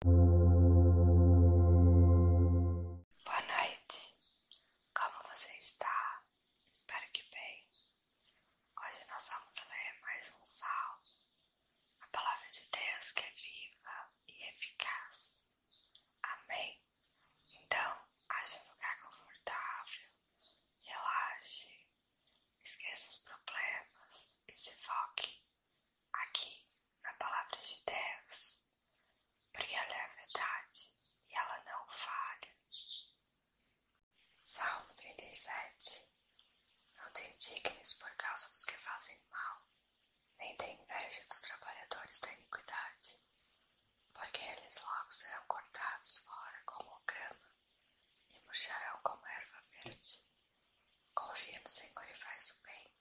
Boa noite, como você está? Espero que bem. Hoje nós vamos ler mais um salmo, a palavra de Deus que é viva e eficaz. Amém? Então, ache um lugar confortável, relaxe, esqueça os problemas e se foque aqui na palavra de Deus, porque ela é a verdade e ela não falha. Salmo 37 Não tem dignos por causa dos que fazem mal, nem tem inveja dos trabalhadores da iniquidade, porque eles logo serão cortados fora como grama e murcharão como erva verde. Confia no Senhor e faz o bem.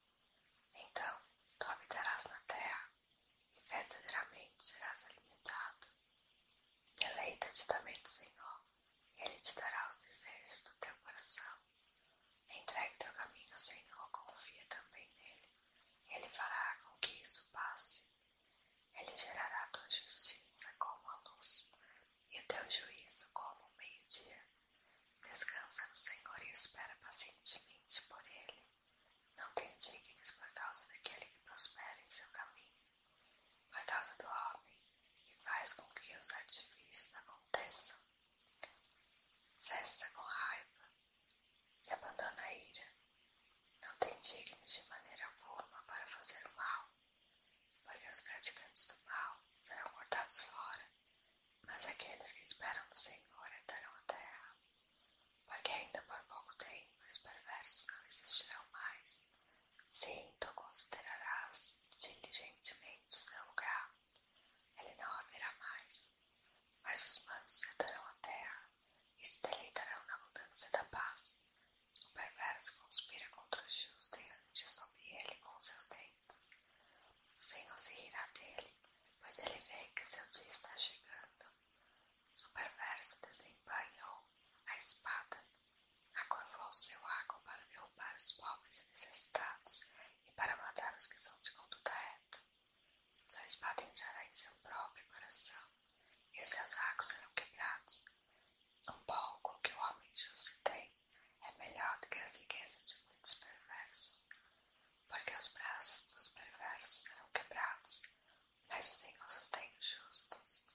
Então tu habitarás na terra e verdadeiramente serás alimentado. Deleita-te também do Senhor e Ele te dará os desejos do teu coração. Entregue teu caminho ao Senhor, confia também nele e Ele fará com que isso passe. Ele gerará tua justiça como a luz e o teu juízo como o meio-dia. Descansa no Senhor e espera pacientemente por Ele. Não te indignes por causa daquele que prospera em seu caminho, por causa do homem que faz com que os artifícios aconteçam. Cessa com raiva e abandona a ira. Não te indignes de maneira alguma para fazer o mal porque os praticantes do mal serão cortados fora, mas aqueles que esperam no Senhor herdarão a terra, porque ainda por pouco tempo os perversos não existirão mais. Se tu considerarás diligentemente o seu lugar, ele não haverá mais, mas os mansos herdarão a terra e se deleitarão na abundância da paz. O perverso conspira contra o justo e range sobre ele com seus dentes. O Senhor se rirá dele, pois ele vê que seu dia está chegando. O perverso desempenhou a espada, acorvou seu água para derrubar os pobres e necessitados e para matar os que são de conduta reta. Sua espada entrará em seu próprio coração e seus arcos serão quebrados. Um pouco que o homem justo tem é melhor do que as riquezas de muitos perversos, porque os braços dos perversos serão quebrados, mas o Senhor sustém os justos.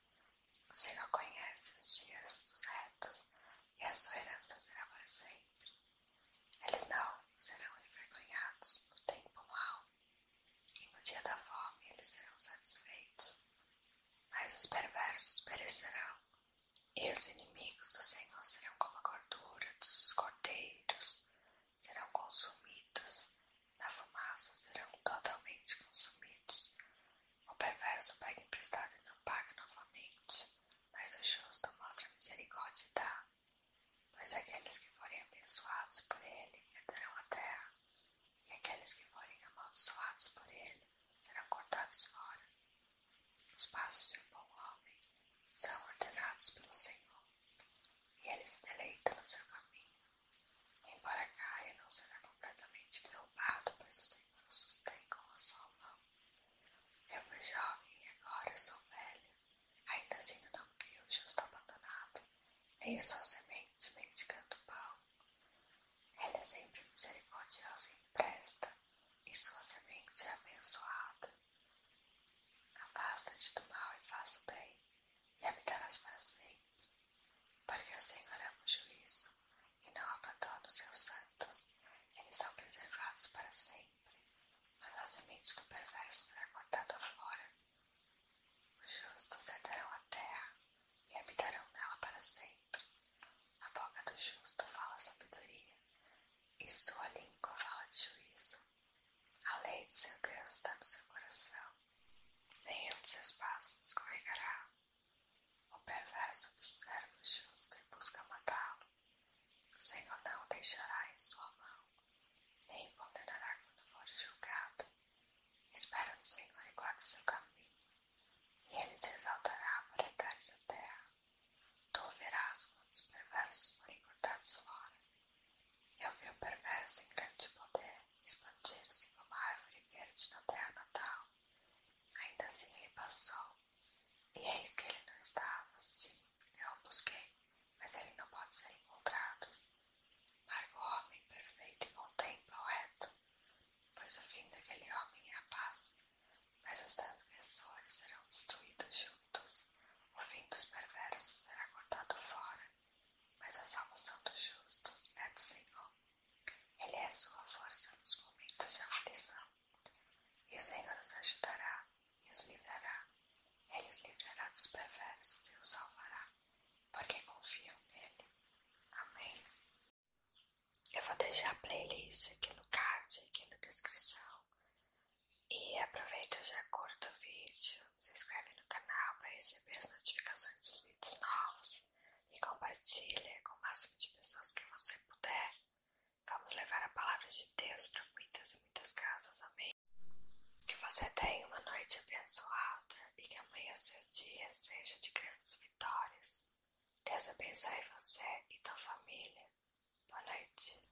O Senhor conhece os dias dos retos, e a sua herança será para sempre. Eles não serão envergonhados no tempo mau, e no dia da fome eles serão satisfeitos, mas os perversos perecerão, e os inimigos do Senhor serão como a gordura dos cordeiros, serão consumidos, na fumaça serão totalmente consumidos. O perverso pega emprestado e não paga novamente, mas o justo mostra misericórdia e dá pois aqueles que forem abençoados por ele herdarão a terra, e aqueles que forem amaldiçoados por ele serão cortados fora. Os passos de um bom homem são ordenados pelo Senhor, e ele se deleita no seu caminho. Embora caia, não será completamente derrubado, pois o Senhor o sustém com a sua mão. Eu fui jovem e agora sou velho, Ainda assim eu não vi o justo abandonado, nem sua semente mendigando pão. Ele é sempre misericordioso e empresta, e sua semente é abençoada. Afasta-te do mal e faz o bem, e habitarás para sempre. Porque o Senhor ama o juízo, e não abandona os seus santos, eles são preservados para sempre mas as sementes do perverso será cortada fora. Os justos herdarão a terra e habitarão nela para sempre. A boca do justo fala sabedoria, e sua língua fala de juízo. A lei de seu Deus está no seu coração, nenhum de seus passos escorregará. O perverso observa o justo e busca matá-lo. O Senhor não o deixará em sua mão, nem o condenará quando for julgado. Espera no Senhor e guarda seu caminho, e ele se exaltará para dar essa terra. Tu verás quantos perversos forem cortados fora. Eu vi o perverso em grande poder expandir-se como árvore verde na terra natal. Ainda assim ele passou e eis é que ele não estava. Sim, eu o busquei, mas ele não pode ser encontrado. Marca o homem perfeito e contempla o reto, pois o fim daquele homem é a paz. Mas os transgressores serão destruídos juntos, o fim dos perversos será cortado fora, mas a salvação dos justos é do Senhor. Ele é a sua força nos momentos de aflição. E o Senhor os ajudará e os livrará. Ele os livrará dos perversos e os salvará, porque confiam nele. Amém. Eu vou deixar a playlist aqui no card, aqui na descrição. E aproveita já curta o vídeo, se inscreve no canal para receber as notificações dos vídeos novos e compartilhe com o máximo de pessoas que você puder. Vamos levar a palavra de Deus para muitas e muitas casas. Amém. Que você tenha uma noite abençoada e que amanhã seu dia seja de grandes vitórias. Deus abençoe você e tua família. Boa noite.